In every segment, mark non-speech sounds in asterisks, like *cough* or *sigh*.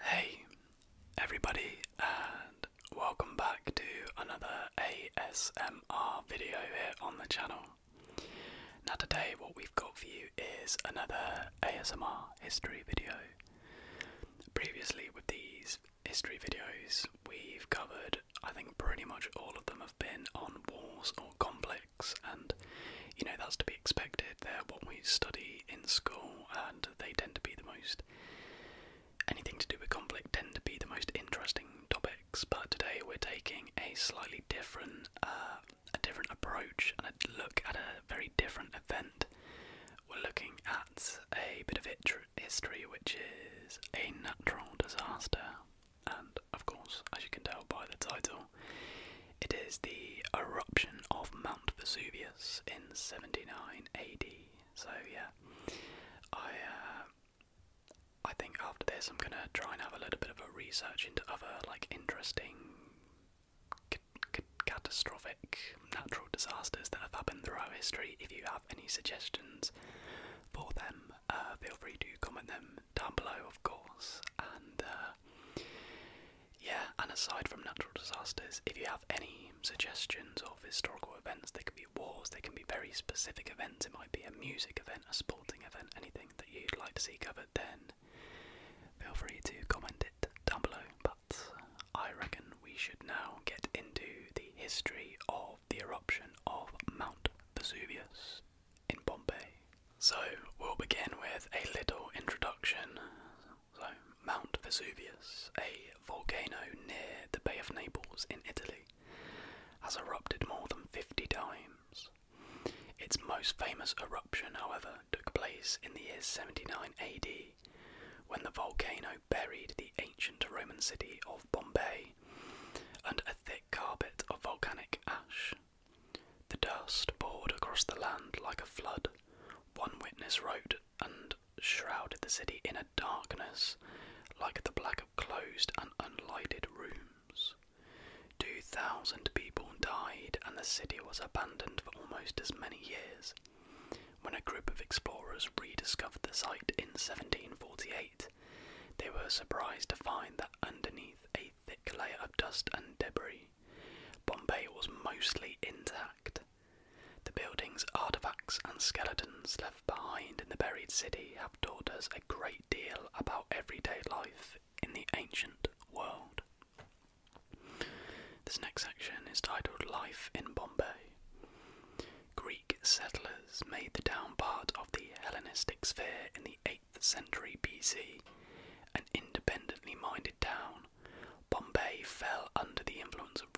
Hey everybody and welcome back to another ASMR video here on the channel. Now today what we've got for you is another ASMR history video. Previously with these history videos we've covered I think pretty much all of them have been on wars or conflicts, and you know that's to be expected. They're what we study in school and they tend to be the most. Anything to do with conflict tend to be the most interesting topics, but today we're taking a slightly different, uh, a different approach and a look at a very different event. We're looking at a bit of history, which is a natural disaster, and of course, as you can tell by the title, it is the eruption of Mount Vesuvius in 79 AD. So yeah, I uh, I think after this I'm gonna try and have a little bit of a research into other like interesting catastrophic natural disasters that have happened throughout history. If you have any suggestions for them, uh, feel free to comment them down below, of course. And uh, yeah, and aside from natural disasters, if you have any suggestions of historical events, they can be wars, they can be very specific events, it might be a music event, a sporting event, anything that you'd like to see covered, then feel free to comment it down below. But I reckon we should now get into the history of the eruption of Mount Vesuvius in Pompeii. So, we'll begin with a little introduction so, Mount Vesuvius, a volcano near the Bay of Naples in Italy, has erupted more than 50 times. Its most famous eruption, however, took place in the year 79 AD when the volcano buried the ancient Roman city of Bombay under a thick carpet of volcanic ash the dust poured across the land like a flood. One witness wrote, and shrouded the city in a darkness like the black of closed and unlighted rooms. Two thousand people died, and the city was abandoned for almost as many years. When a group of explorers rediscovered the site in 1748, they were surprised to find that underneath a thick layer of dust and debris. Bombay was mostly intact. The building's artifacts and skeletons left behind in the buried city have taught us a great deal about everyday life in the ancient world. This next section is titled Life in Bombay. Greek settlers made the down part of the Hellenistic sphere in the eighth. 8th century BC, an independently minded town, Bombay fell under the influence of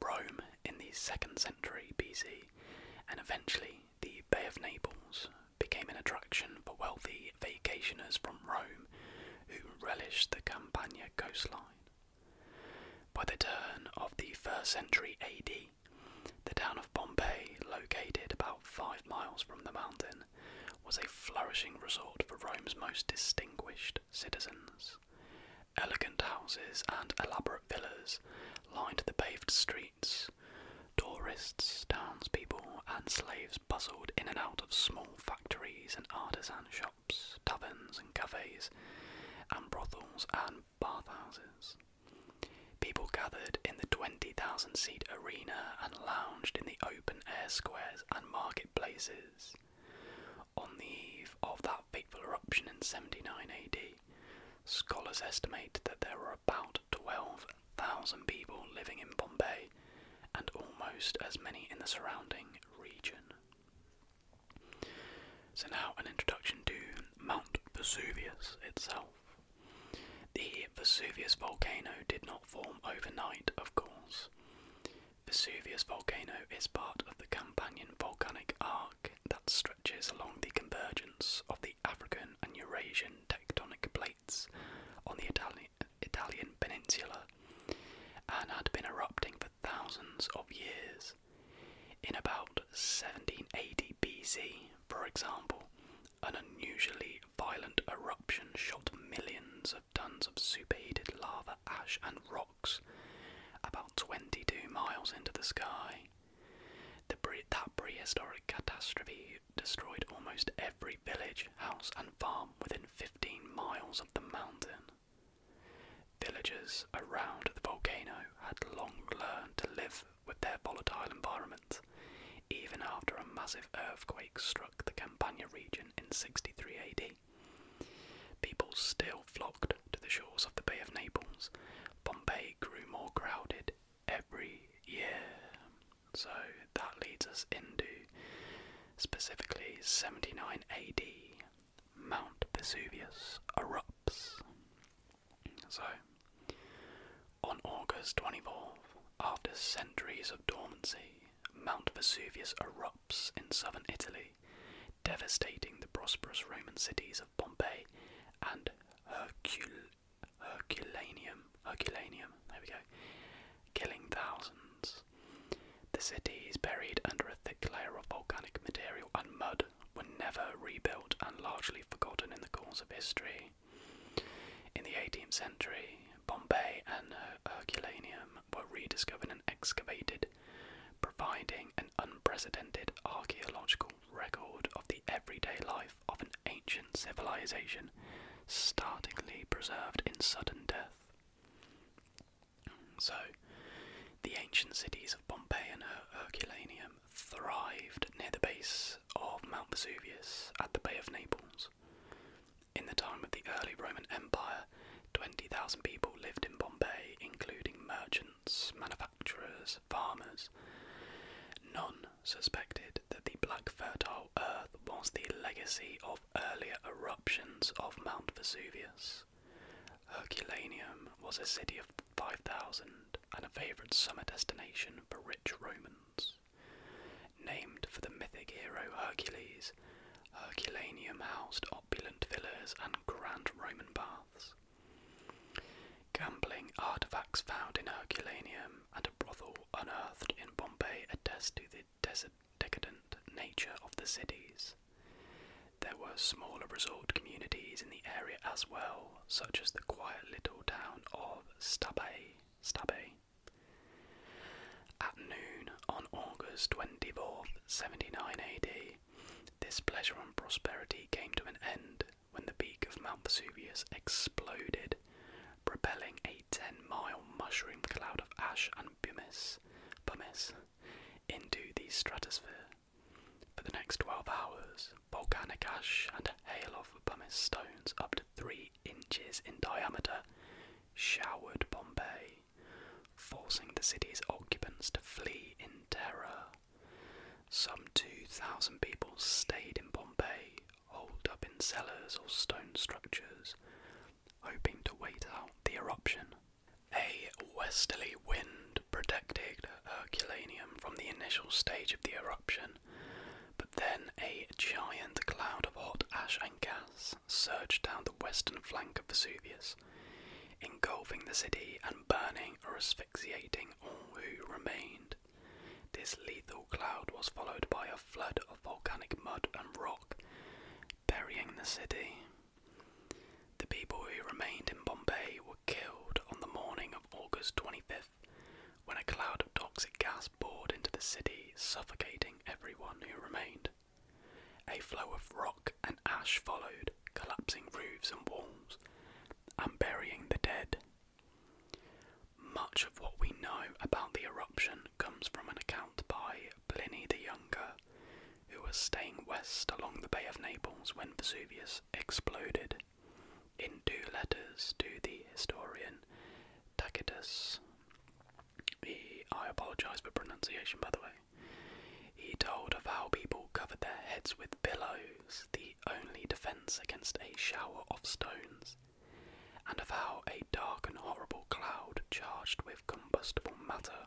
Rome in the 2nd century BC, and eventually the Bay of Naples became an attraction for wealthy vacationers from Rome who relished the Campania coastline. By the turn of the 1st century AD, the town of Bombay, located about five miles from the mountain, was a flourishing resort for Rome's most distinguished citizens. Elegant houses and elaborate villas lined the paved streets. Tourists, townspeople, and slaves buzzed in and out of small factories and artisan shops, taverns and cafes, and brothels and bathhouses. People gathered in the 20,000 seat arena and lounged in the open air squares and marketplaces. On the eve of that fateful eruption in 79 AD, scholars estimate that there were about 12,000 people living in Bombay and almost as many in the surrounding region. So, now an introduction to Mount Vesuvius itself. The Vesuvius volcano did not form overnight, of course. Vesuvius volcano is part of the Campanian volcanic arc that stretches along the convergence of the African and Eurasian tectonic plates on the Italian peninsula and had been erupting for thousands of years. In about 1780 BC, for example, an unusually violent eruption shot millions of tons of superheated lava, ash, and rocks about 22 miles into the sky. The pre that prehistoric catastrophe destroyed almost every village, house, and farm within 15 miles of the mountain. Villagers around the volcano had long learned to live with their volatile environment, even after a massive earthquake struck the Campania region in 63 AD. People still flocked to the shores of the Bay of Naples. Pompeii grew more crowded every year. So that leads us into specifically 79 AD. Mount Vesuvius erupts. So on August 24th, after centuries of dormancy, Mount Vesuvius erupts in southern Italy, devastating the prosperous Roman cities of Pompeii and Herculaneum. Herculaneum, there we go, killing thousands. The cities, buried under a thick layer of volcanic material and mud, were never rebuilt and largely forgotten in the course of history. In the 18th century, Bombay and uh, Herculaneum were rediscovered and excavated, providing an unprecedented archaeological record of the everyday life of an ancient civilization, startlingly preserved in sudden death. So, the ancient cities of Pompeii and uh, Herculaneum thrived near the base of Mount Vesuvius at the Bay of Naples. In the time of the early Roman Empire, 20,000 people lived in Bombay, including merchants, manufacturers, farmers. None suspected that the black fertile earth was the legacy of earlier eruptions of Mount Vesuvius. Herculaneum was a city of 5,000 and a favourite summer destination for rich Romans. Named for the mythic hero Hercules, Herculaneum housed opulent villas and grand Roman baths. Gambling artifacts found in Herculaneum and a brothel unearthed in Pompeii attest to the decadent nature of the cities. There were smaller resort communities in the area as well, such as the quiet little town of Stabay, Stabay. At noon on August 24th, 79 AD, this pleasure and prosperity came to an end when the peak of Mount Vesuvius exploded, propelling a 10 mile mushroom cloud of ash and pumice into the stratosphere. For the next 12 hours, volcanic ash, and hail of pumice stones up to three inches in diameter showered Bombay, forcing the city's occupants to flee in terror. Some 2,000 people stayed in Bombay, holed up in cellars or stone structures, hoping to wait out the eruption. A westerly wind protected Herculaneum from the initial stage of the eruption, but then a giant cloud of hot ash and gas surged down the western flank of Vesuvius, engulfing the city and burning or asphyxiating all who remained. This lethal cloud was followed by a flood of volcanic mud and rock, burying the city. The people who remained in Bombay were killed on the morning of August twenty-fifth when a cloud of toxic gas poured into the city, suffocating everyone who remained. A flow of rock and ash followed, collapsing roofs and walls, and burying the dead. Much of what we know about the eruption comes from an account by Pliny the Younger, who was staying west along the Bay of Naples when Vesuvius exploded. In two letters to the historian Tacitus, he, I apologise for pronunciation by the way, he told of how people covered their heads with pillows, the only defence against a shower of stones, and of how a dark and horrible cloud charged with combustible matter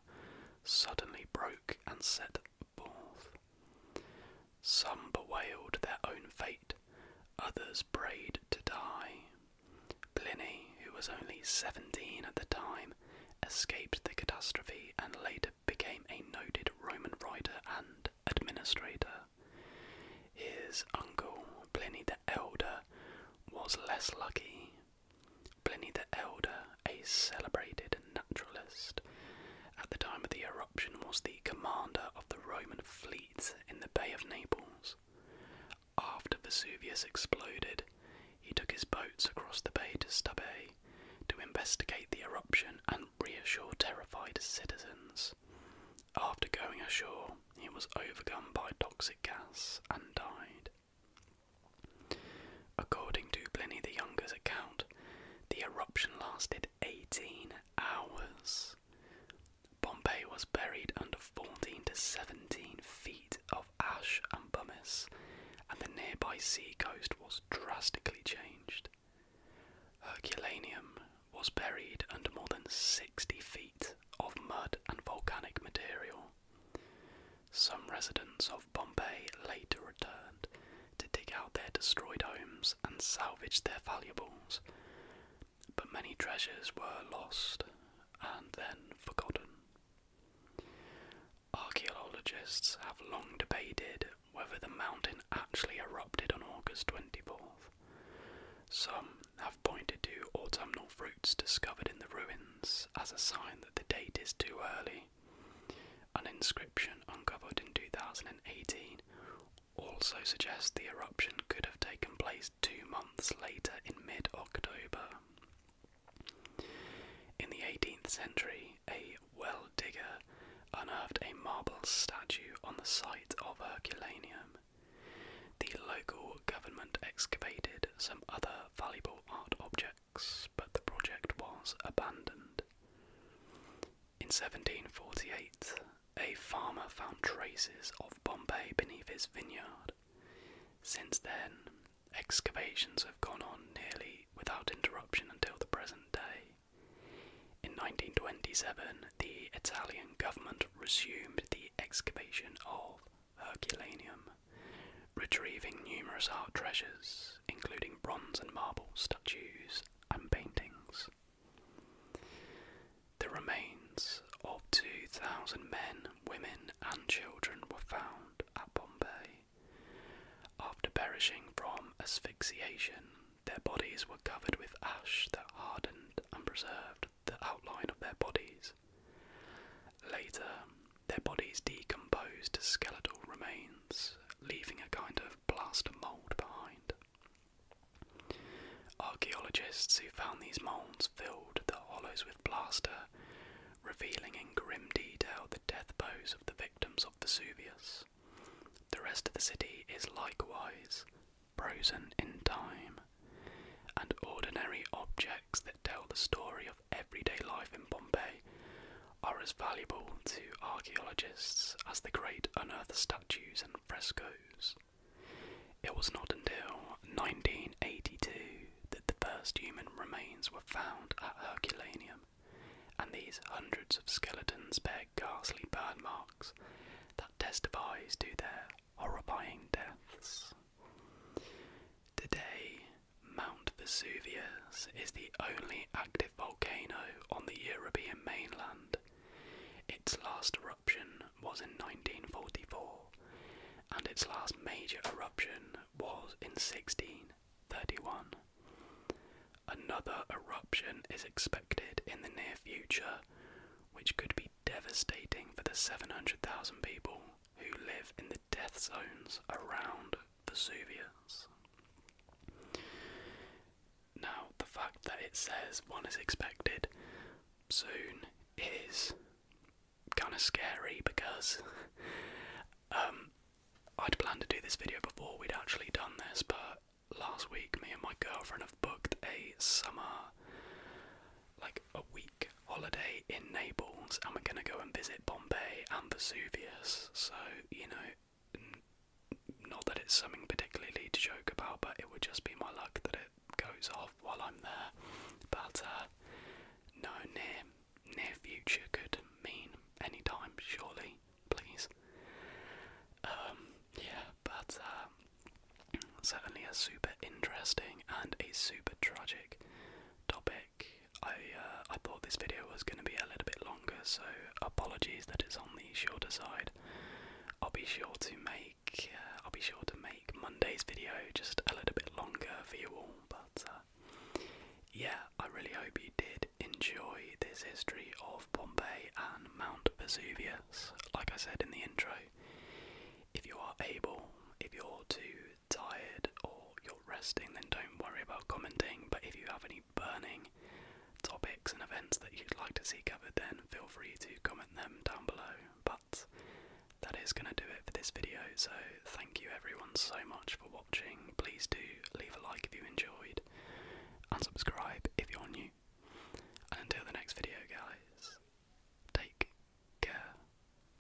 suddenly broke and set both. Some bewailed their own fate, others prayed to die. Pliny, who was only 17 at the time, escaped the catastrophe and later became a noted Roman writer and administrator. His uncle, Pliny the Elder, was less lucky. Pliny the Elder, a celebrated naturalist, at the time of the eruption was the commander of the Roman fleet in the Bay of Naples. After Vesuvius exploded, he took his boats across the bay to Stabiae to investigate the eruption and reassure terrified citizens. After going ashore, he was overcome by toxic gas and died. According to Pliny the Younger's account, the eruption lasted 18 hours. Pompeii was buried under 14 to 17 feet of ash and pumice, and the nearby sea coast was drastically changed. Herculaneum was buried under more than 60 feet of mud and volcanic material. Some residents of of Bombay later returned to dig out their destroyed homes and salvage their valuables, but many treasures were lost and then forgotten. Archaeologists have long debated whether the mountain actually erupted on August 24th. Some have pointed to autumnal fruits discovered in the ruins as a sign that the date is too early, an inscription uncovered in 2018 also suggests the eruption could have taken place two months later in mid October. In the 18th century, a well digger unearthed a marble statue on the site of Herculaneum. The local government excavated some other valuable art objects but the project was abandoned. In 1748, a farmer found traces of Bombay beneath his vineyard. Since then, excavations have gone on nearly without interruption until the present day. In 1927, the Italian government resumed the excavation of Herculaneum, retrieving numerous art treasures, including bronze and marble statues and paintings. The remains of 2,000 men, women, and children were found at Pompeii. After perishing from asphyxiation, their bodies were covered with ash that hardened and preserved the outline of their bodies. Later, their bodies decomposed to skeletal remains, leaving a kind of plaster mould behind. Archaeologists who found these moulds filled the hollows with plaster, revealing in grim detail the death pose of the victims of Vesuvius. The rest of the city is likewise frozen in time, and ordinary objects that tell the story of everyday life in Pompeii are as valuable to archaeologists as the great unearthed statues and frescoes. It was not until 1982 that the first human remains were found at Herculaneum, and these hundreds of skeletons bear ghastly burn marks that testify to their horrifying deaths. Today, Mount Vesuvius is the only active volcano on the European mainland. Its last eruption was in 1944, and its last major eruption was in 1631. Another eruption is expected in the near future, which could be devastating for the 700,000 people who live in the death zones around Vesuvius. Now, the fact that it says one is expected soon is kind of scary because *laughs* um, I'd planned to do this video before we'd actually done this, but last week me and my girlfriend have booked a summer, like a week holiday in Naples and we're going to go and visit Pompeii and Vesuvius. So, you know, not that it's something particularly to joke about, but it would just be my luck that it goes off while I'm there. But uh, no, near, near future could mean any time, surely, please. Um, yeah, but uh, certainly a super interesting and a super tragic topic I uh, I thought this video was going to be a little bit longer, so apologies that it's on the shorter side. I'll be sure to make uh, I'll be sure to make Monday's video just a little bit longer for you all. But uh, yeah, I really hope you did enjoy this history of Pompeii and Mount Vesuvius. Like I said in the intro, if you are able, if you're to tired or you're resting, then don't worry about commenting. But if you have any burning topics and events that you'd like to see covered, then feel free to comment them down below. But that is going to do it for this video. So thank you everyone so much for watching. Please do leave a like if you enjoyed and subscribe if you're new. And until the next video, guys, take care.